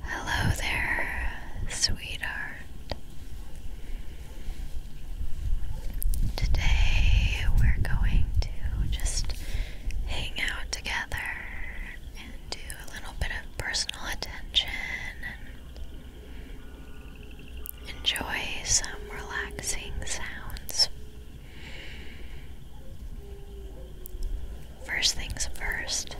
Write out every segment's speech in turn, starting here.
Hello there, sweetheart. Today we're going to just hang out together and do a little bit of personal attention and enjoy some relaxing sounds first things first,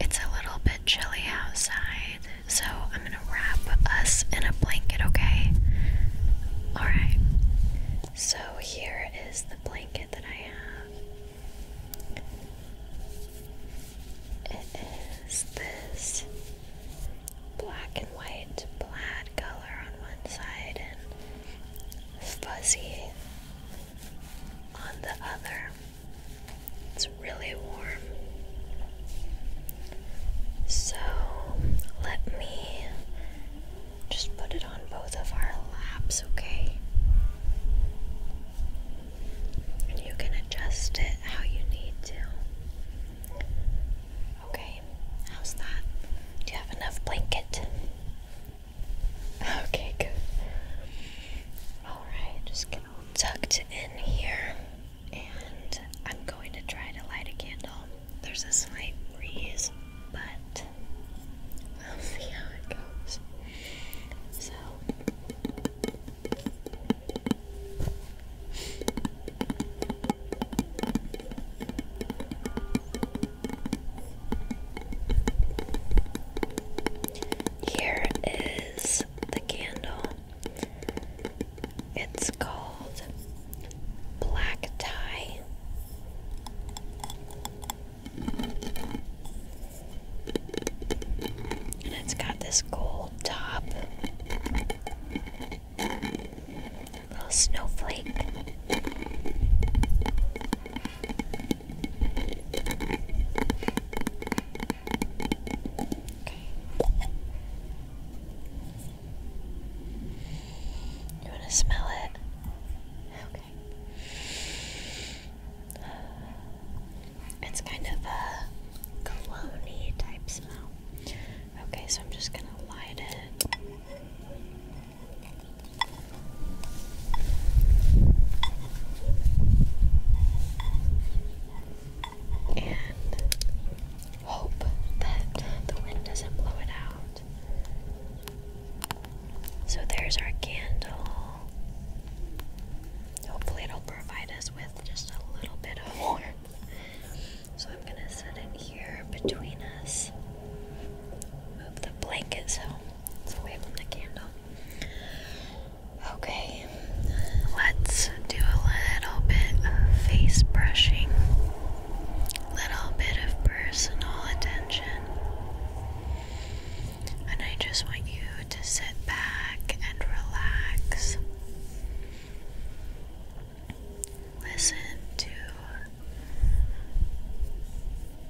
it's a little bit chilly outside, so I'm gonna wrap us in a blanket, okay? Alright, so here is the blanket that I have. It is this black and white plaid color on one side and fuzzy on the other. It's really warm. So let me just put it on both of our laps, okay? And you can adjust it how you need to. Okay, how's that? Do you have enough blanket? Okay, good. Alright, just tucked in here. And I'm going to try to light a candle. There's a slight breeze, but we'll see how it goes. So. Here is the candle. It's called Black Tie. And it's got this gold top, little snowflake, you want to smell it? Okay. It's kind of a cologne type smell. Okay, so I'm just going to light it. And hope that the wind doesn't blow it out. So there's our candle. Hopefully, it'll provide us with just a little bit of warmth. So I'm going to set it here between us. Move the blankets home. It's away from the candle. Okay, let's do a little bit of face brushing, little bit of personal attention. And I just want you to sit back and relax. Listen to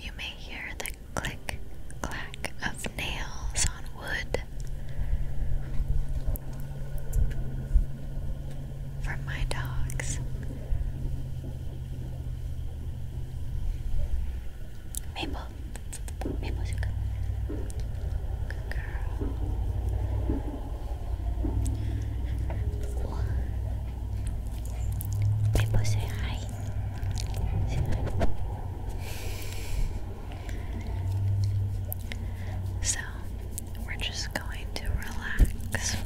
You may hear the click clack of nails on wood. From my dogs. Maple. Maple Good girl. So we're just going to relax.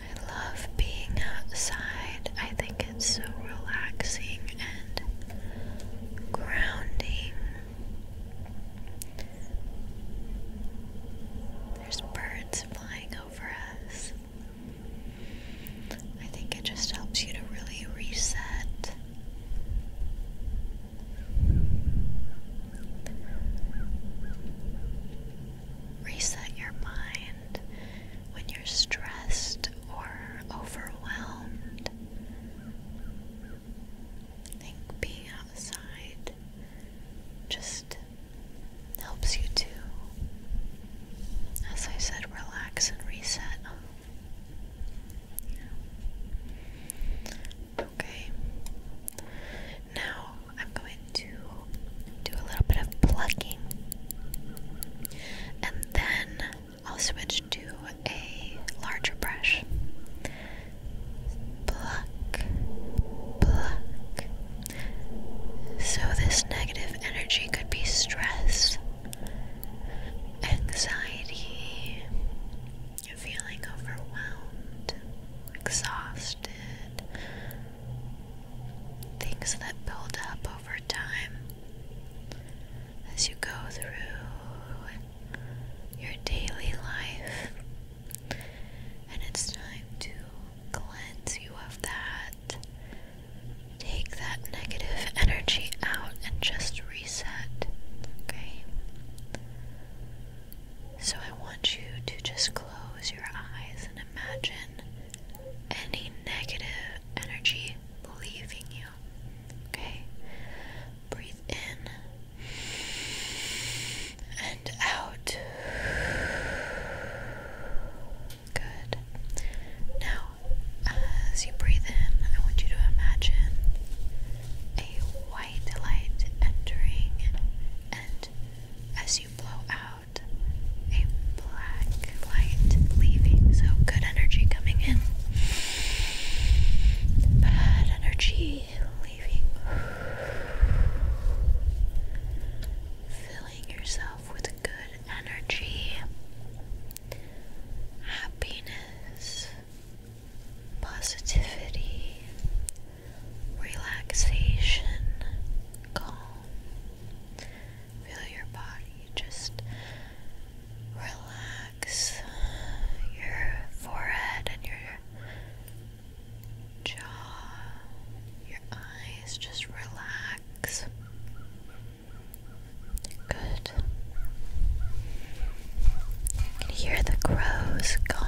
I love being outside. I think it's so relaxing and grounding. There's birds flying over us. I think it just helps you to really reset. Reset your mind when you're stressed or overwhelmed. I think being outside just helps you to, as I said, relax and reset. Okay. Now, I'm going to do a little bit of plucking and then I'll switch to a larger brush. Pluck, pluck. So, this negative energy could be stress, anxiety, feeling overwhelmed, exhausted, things that build up over time as you go through your daily life. And it's time to cleanse you of that. Take that negative energy out and just reset. Okay? So I want you to just close your eyes and imagine any negative energy leaving you. Okay? Breathe in and out. Good. Now, as you breathe in, I want you to imagine a white light entering, and as you blow out, a black light leaving, so good energy coming in, bad energy leaving, filling yourself with good energy, happiness, positivity, relaxation, calm. Feel your body just relax your forehead and your jaw, your eyes just relax. Good. hear the crows going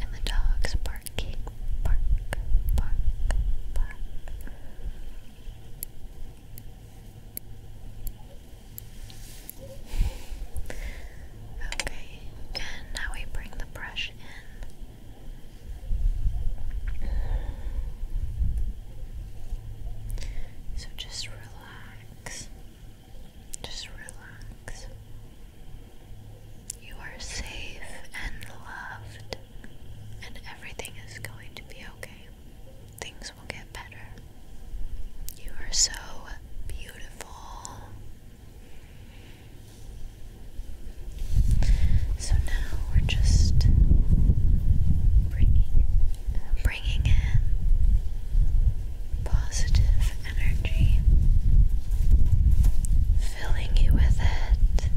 and the dogs barking, bark, bark, bark. Okay, and now we bring the brush in. So just relax. Just relax. You are safe and loved, and everything is going to be okay. Things will get better. You are so beautiful. So now we're just bringing bringing in positive energy, filling you with it.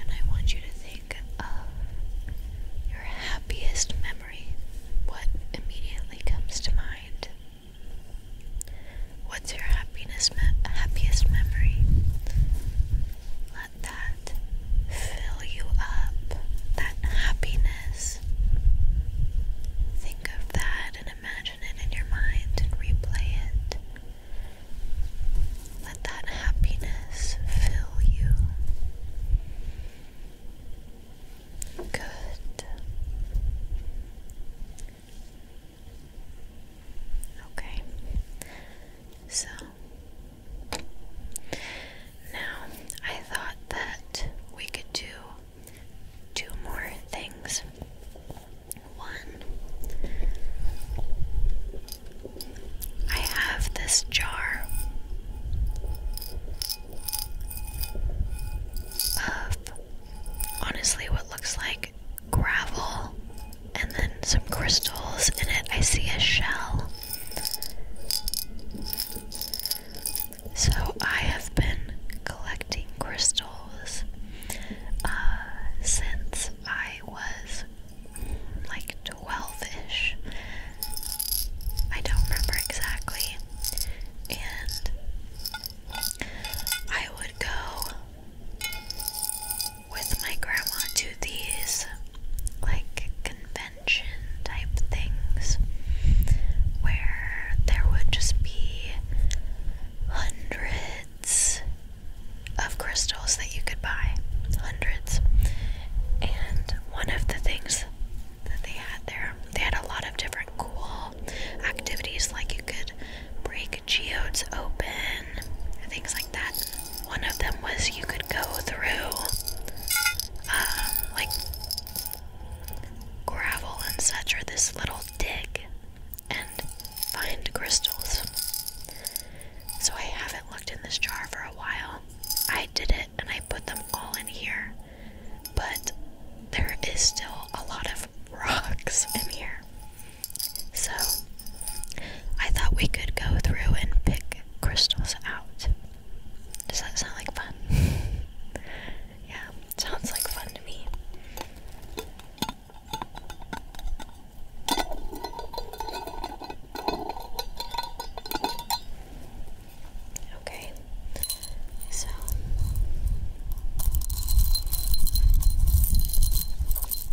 And I want you to think of your happiest memory. What immediately comes to mind? What's your happiness me happiest memory? Let that fill you up. That happiness Think of that and imagine it in your mind and replay it. Let that happiness fill you. Good. Okay. So now, I thought that we could do two more things. One, I have this jar of honestly what looks like gravel and then some crystals in it. I see a shell. So, I have been collecting crystals uh, since I was like 12 ish. I don't remember exactly. And I would go with my grandma to these like conventions convention type things where there would just be hundreds of crystals that you could buy. Hundreds. And one of the things that they had there, they had a lot of different cool activities like you could break geodes open and things like that. One of them was you could go through um, like Gravel and such are this little dig and find crystals. So I haven't looked in this jar for a while. I did it and I put them all in here, but there is still a lot of rocks in here. So I thought we could go through and pick crystals out. Does that sound like fun? yeah, sounds like fun to me. Okay, so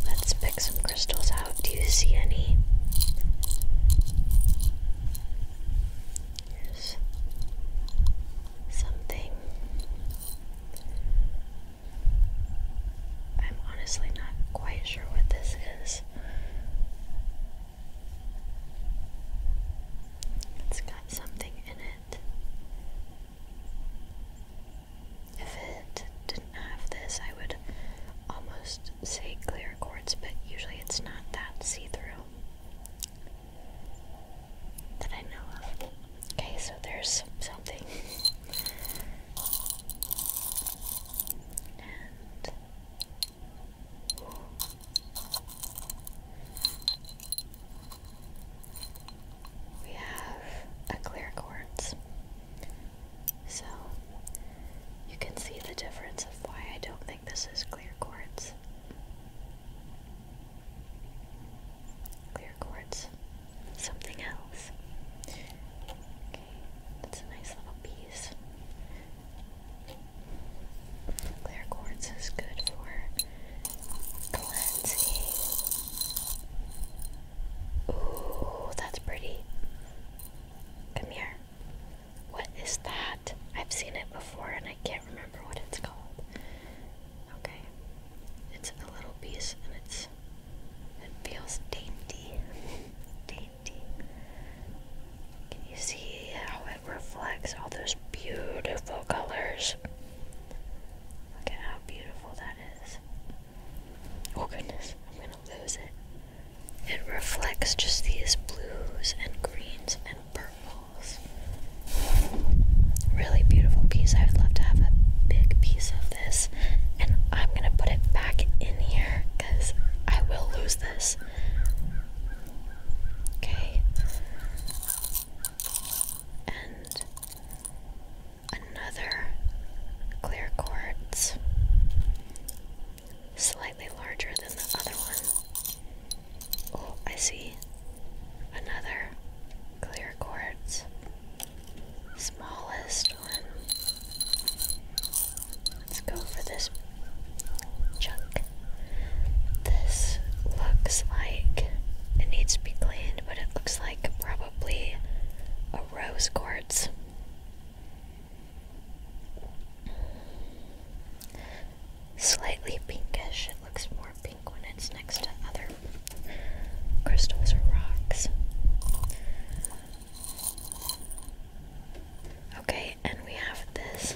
let's pick some crystals out. Do you see any? Here's something. I'm honestly not quite sure what this is. It's got something in it. If it didn't have this, I would almost say clear quartz, but usually it's not that see through that I know of. Okay, so there's something. we have a clear quartz. So you can see the difference of why I don't think this is clear quartz. Clear quartz. Something else. Okay, that's a nice little piece. Clear quartz is good for cleansing. Ooh, that's pretty. Come here. What is that? I've seen it before and I can't remember what it's called. Okay. It's a little piece and it's it feels dainty. dainty. Can you see how it reflects all those beautiful colors? Look at how beautiful that is. Oh goodness, I'm gonna lose it. It reflects just these blues and greens and purples. Really beautiful piece. I would love to have a big piece of this. And I'm going to put it back in here because I will lose this. Okay. And another clear quartz slightly larger than the other one. Oh, I see another clear quartz. Smallest one. Let's go for this chunk. This looks like it needs to be cleaned, but it looks like probably a rose quartz. Slightly pinkish. It looks more pink when it's next to other crystals or rocks. Okay, and we have this.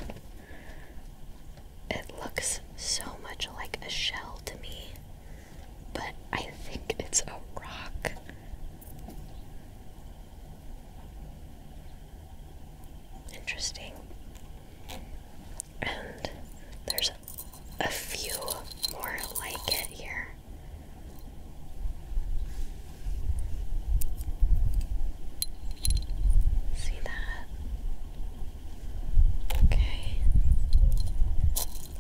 It looks so much like a shell to me, but I think it's a rock. Interesting. And there's a few more like it here. See that? Okay.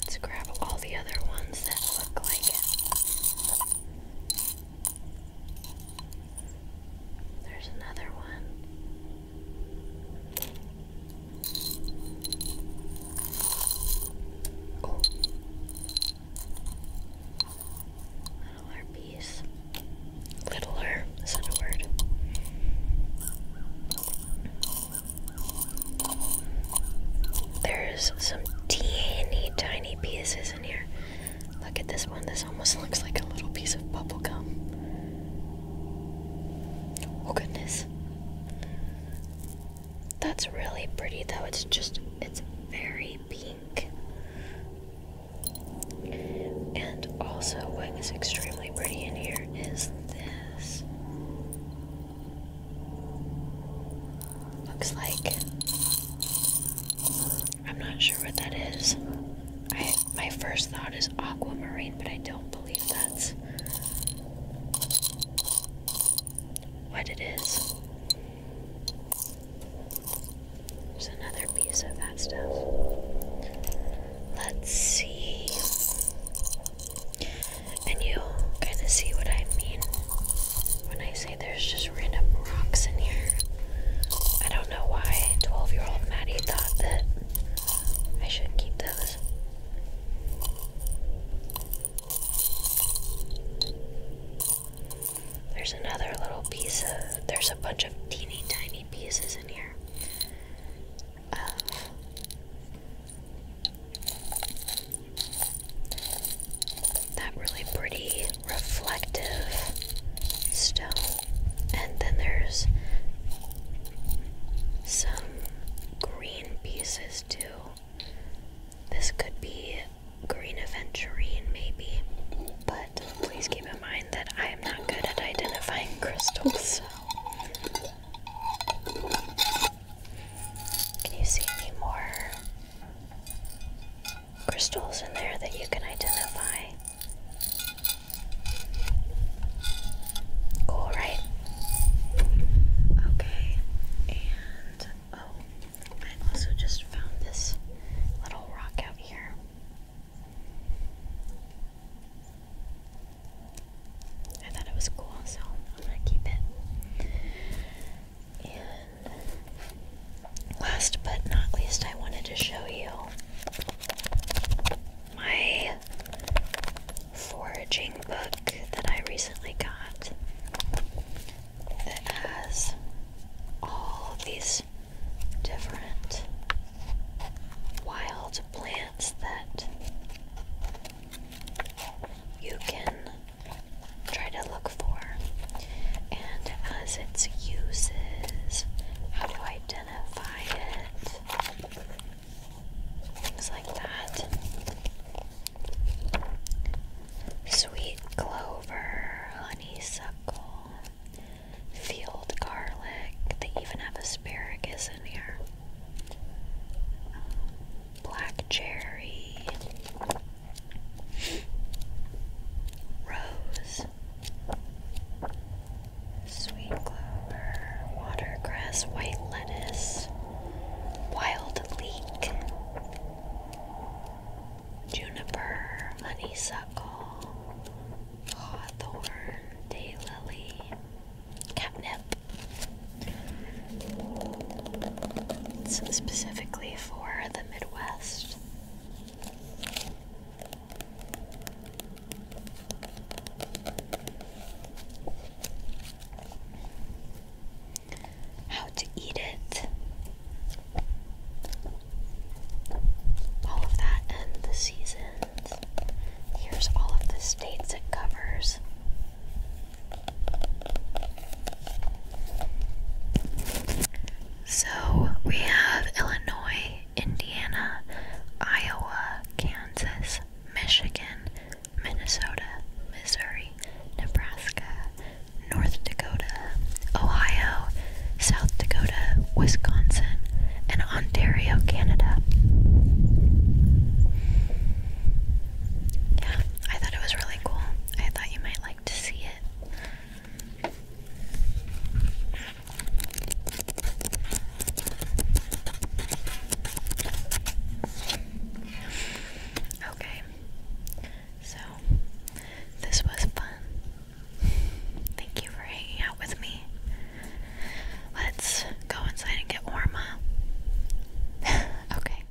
Let's grab all the other ones that look like it. There's another one. Oh. Littler piece. Littler, is a word? There's some teeny tiny pieces in here. Look at this one. This almost looks like a little piece of bubble gum. Oh goodness. That's really pretty though. It's just it's very pink. And also what is extremely pretty in here is this. Looks like I'm not sure what that is. I my first thought is aquamarine, but I don't believe that's what it is. There's another piece of that stuff. Let's see. And you'll kind of see what I mean when I say there's just random rocks in here, I don't know why 12 year old Maddie thought that I should keep those. There's another little piece of. There's a bunch of teeny tiny pieces in here. Um, that really pretty reflective stone. And then there's some green pieces too. This could be green aventurine, maybe, but please keep in mind that I am not good at identifying crystals. So. Can you see any more crystals in there that you can identify. Cool, right? Okay, and oh, I also just found this little rock out here. I thought it was cool, so I'm gonna keep it last but not least, I wanted to show you my foraging book that I recently got that has all these different wild plants that you can try to look for. And as its uses, how to identify it, things like that. Sweet clover, honeysuckle, field garlic. They even have asparagus in here. black cherry, Rose, sweet clover, watercress, white lettuce, wild leek, juniper, honeysuckle, hawthorn, daylily, catnip. It's specifically for the Midwest. How to eat it. All of that and the seasons. Here's all of the states it covers. So we have Illinois, Indiana, Iowa, Kansas, Michigan, Minnesota, Missouri, Nebraska, North Dakota, Ohio, South Dakota, Wisconsin, and Ontario, Canada. Yeah, I thought it was really cool. I thought you might like to see it. Okay, so this was fun. Thank you for hanging out with me. Let's go inside and get warm okay.